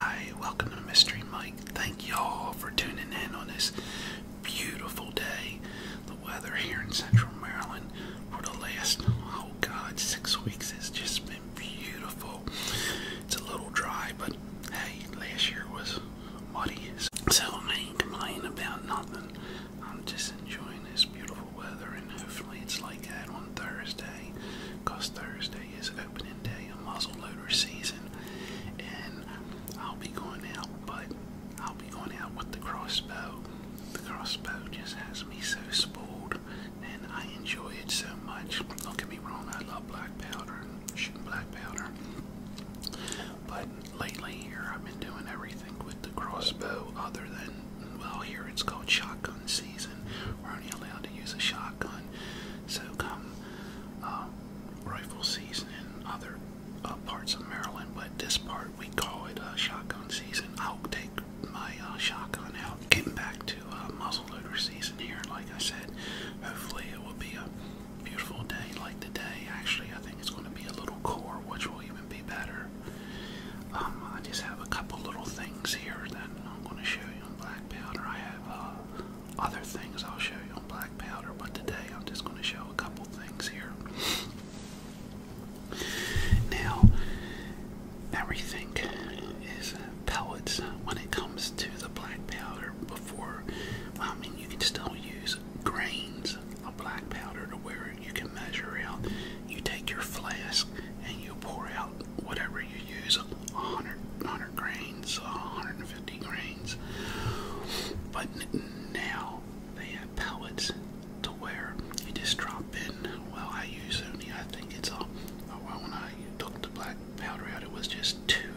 Hi, welcome to Mystery Mike. Thank y'all for tuning in on this beautiful day. The weather here in Central Maryland for the last, oh God, six weeks has just been beautiful. It's a little dry, but hey, last year was muddy, so I ain't complaining about nothing. I'm just enjoying this beautiful weather, and hopefully it's like that on Thursday, because Thursday Today is opening day of muzzleloader season, and I'll be going out, but I'll be going out with the crossbow. The crossbow just has me so spoiled, and I enjoy it so much. Don't get me wrong, I love black powder and shooting black powder, but lately here I've been doing everything with the crossbow other than, well, here it's called shotgun season. We're only allowed to use a shotgun so come um, rifle season in other uh, parts of Maryland, but this part we call it uh, shotgun season. I'll take my uh, shotgun out. Getting back to uh, muzzleloader season here, like I said, hopefully it will be a beautiful day like today. Actually, I think it's going to be a little cooler, which will even be better. Um, I just have a couple little things here that I'm going to show you on black powder. I have uh, other things I'll show you on black powder, but today I'm just going to show a couple things here. now, everything is pellets when it comes to the black powder. Before, well, I mean, you can still use grains of black powder to where you can measure out. You take your flask and you pour out whatever you use 100, 100 grains, 150 grains. But now they have pellets to where you just drop in. Well, I use only, I think it's a. Oh, well, when I took the black powder out, it was just two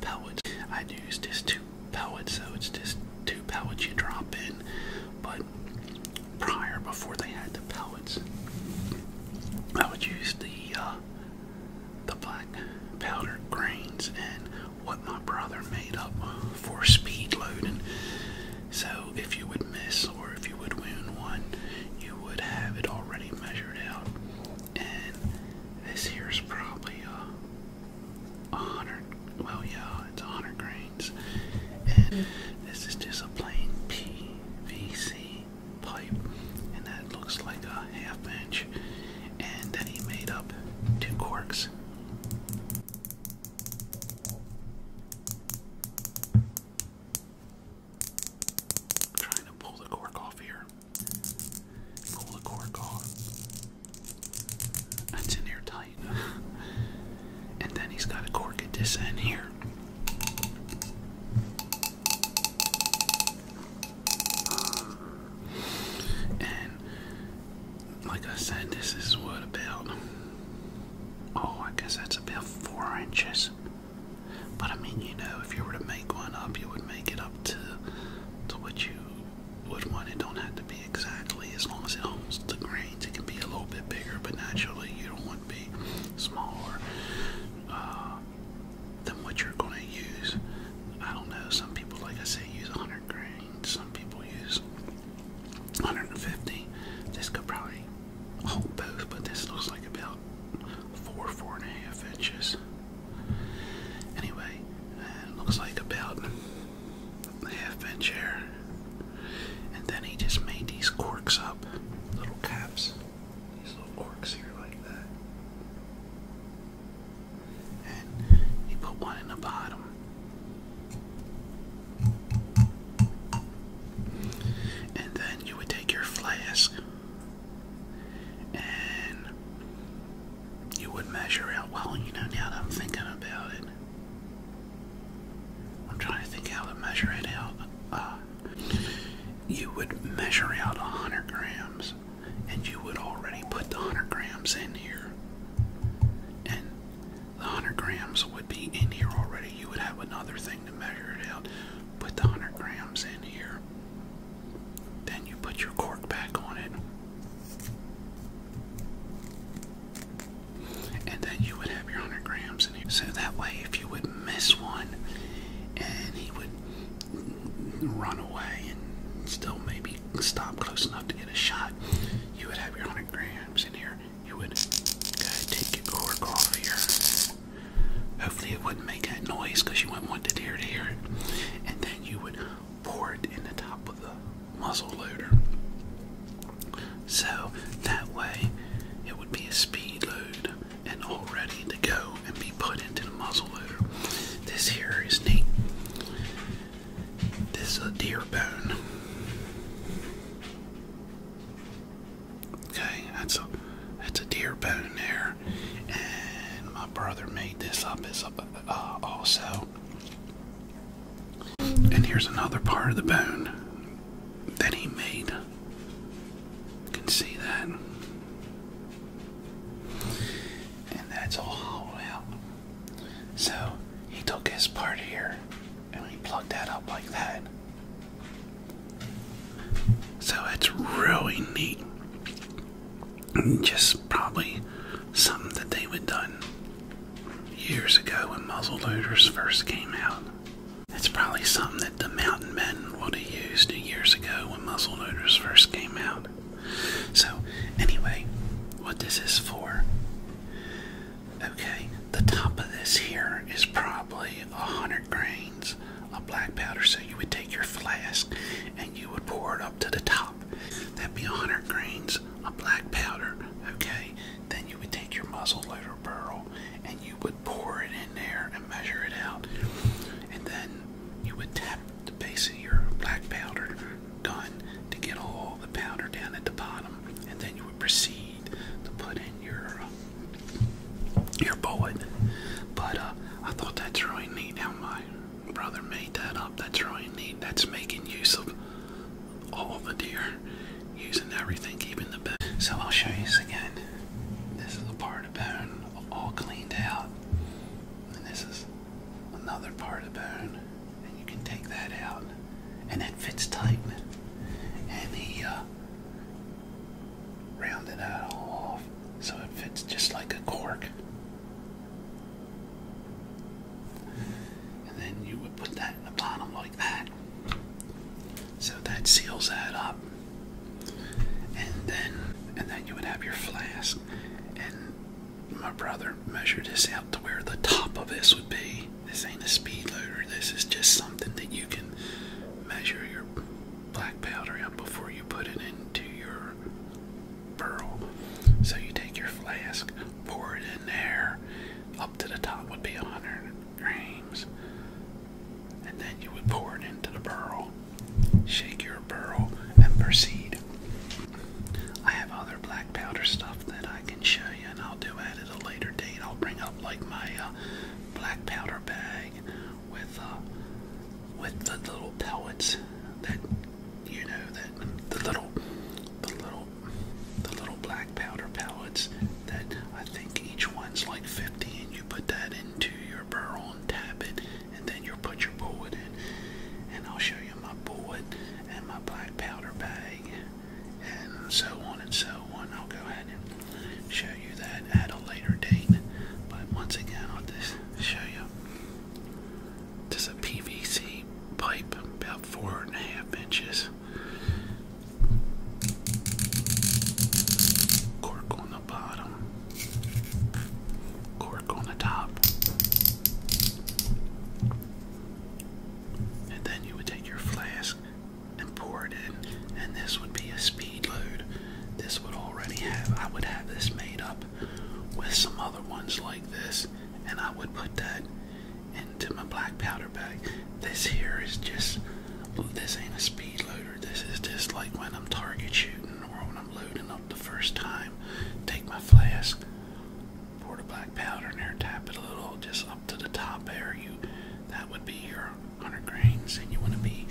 pellets. I used just two pellets, so it's just two pellets you drop in. But prior, before they had the pellets, I would use the uh, the black powder grains and what my brother made up for speed loading. So if you would miss or if you would wound one, you would have it already measured out. And this here's probably uh, a hundred. Well, yeah, it's hundred grains. And mm. this is just a plain PVC pipe, and that looks like a half bench. And then he made up two corks. trying to pull the cork off here. Pull the cork off. That's in there tight. and then he's got a cork at this end here. And like I said, this is what about oh, I guess that's about four inches. But I mean, you know, if you were to make one up, you would make it up to to what you would want. It don't have to be exactly as long as it holds the grains. It can be a little bit bigger, but naturally, you don't want would be smaller uh, than what you're going to use. I don't know. Some people, like I say, use 100 grains. Some people use 150. This could probably hold both, but this looks like about four, four and a half inches. Anyway, and it looks like about a half inch here. And then he just made these corks up, little caps, these little corks here like that. And he put one in the bottom. And then you would take your flask and you would measure out. Well, you know, now I'm thinking about it, I'm trying to think how to measure it out. Uh, you would measure out 100 grams, and you would already put the 100 grams in here. And the 100 grams would be in here already. You would have another thing to measure it out. Put the 100 grams in here. Then you put your cork back on it and then you would have your 100 grams in here. So that way, if you would miss one and he would run away and still maybe stop close enough to get a shot, you would have your 100 grams in here. You would uh, take your cork off here. Hopefully, it wouldn't make that noise because you wouldn't want it here to hear it. And then you would pour it in the top of the muzzle loader. So that way it would be a speed load and all ready to go and be put into the muzzle loader. This here is neat. This is a deer bone. Okay, that's a that's a deer bone there, and my brother made this up as uh, also. And here's another part of the bone that he made. You can see that. And that's all hollowed out. So he took his part here and he plugged that up like that. So it's really neat. Just probably something that they would done years ago when muzzle loaders first came out. That's probably something that the mountain men would have used years ago when muzzle loaders first came out. So, anyway, what this is for. Okay, the top of this here is probably a hundred grains of black powder. So you would take your flask and you would pour it up to the top. That'd be a hundred grains of black powder. Okay, then you would take your muzzleloader barrel and you would pour it in there and measure it out. And then you would tap the base of your black powder done to get all the powder down at the bottom. And then you would proceed to put in your uh, your bullet. But uh, I thought that's really neat how my brother made that up. That's really neat. That's making use of all the deer using everything, keeping the bone. So I'll show you this again. This is a part of bone all cleaned out, and this is another part of bone, and you can take that out, and it fits tight. And he uh, rounded that all off, so it fits just like a cork. And then you would put that in the bottom like so that seals that up. And then and then you would have your flask. And my brother measured this out to where the top of this would be. This ain't a speed loader. This is just something that you can measure your black powder out before you put it into your burl. So you take your flask, pour it in there, up to the top would be a 100 grains, And then you would pour it into the barrel, shake your barrel, and proceed. I have other black powder stuff that I can show you, and I'll do at it at a later date. I'll bring up like my uh, black powder bag with uh, with the little pellets that you know that the little the little the little black powder pellets that I think each one's like 50 and you put that into your barrel and tap it and then you put your bullet in and I'll show you my bullet and my black powder bag and so on and so on. I'll go ahead and show you that at a later date but once again I'll just show you this is a PVC pipe about four and a half inches Cork on the bottom. Cork on the top. And then you would take your flask and pour it in. And this would be a speed load. This would already have, I would have this made up with some other ones like this. And I would put that into my black powder bag. This here is just, this ain't a speed loader. This is just like when I'm target shooting or when I'm loading up the first time. Take my flask, pour the black powder in there, tap it a little just up to the top area. that would be your 100 grains and you want to be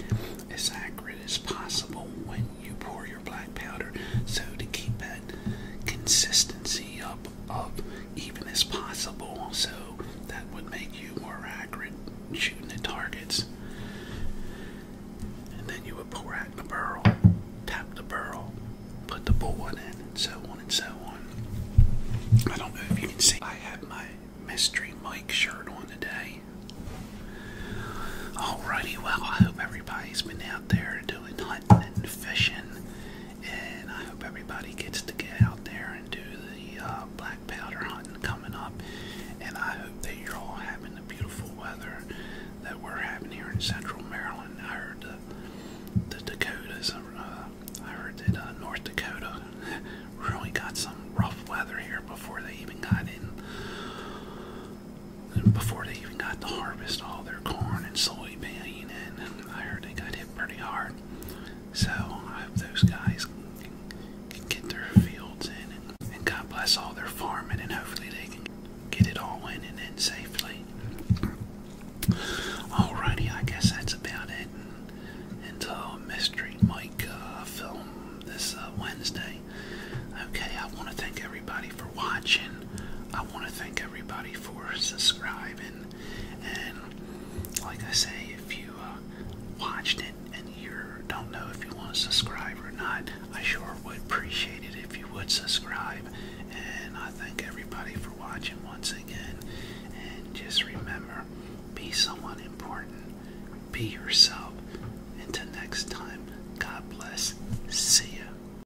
as accurate as possible when you pour your black powder. So to keep that consistency up of even as possible, so that would make you more accurate shooting at targets. And then you would pull out the barrel, tap the barrel, put the bullet in, and so on and so on. I don't know if you can see, I have my mystery Mike shirt on today. Alrighty, well, I hope everybody's been out there doing hunting and fishing and I hope everybody gets to get out there and do the uh, black powder hunting coming up. And I hope that you're all having the beautiful weather that we're having here in Central Maryland. I heard the, Dakotas, uh, I heard that uh, North Dakota really got some rough weather here before they even got in, before they even got to harvest all their corn and soybean and I heard they got hit pretty hard. So I hope those guys can, get their fields in, and, God bless all their farming, and hopefully they can get it all in and in safely. Alrighty, I guess that's about it. Until Mystery Mike film this uh, Wednesday. Okay, I want to thank everybody for watching. I want to thank everybody for subscribing. And like I say, if you uh, watched it and you don't know if you want to subscribe or not, I sure would appreciate it if you would subscribe. And I thank everybody for watching once again. And just remember, be someone important. Be yourself. Until next time, God bless. See ya.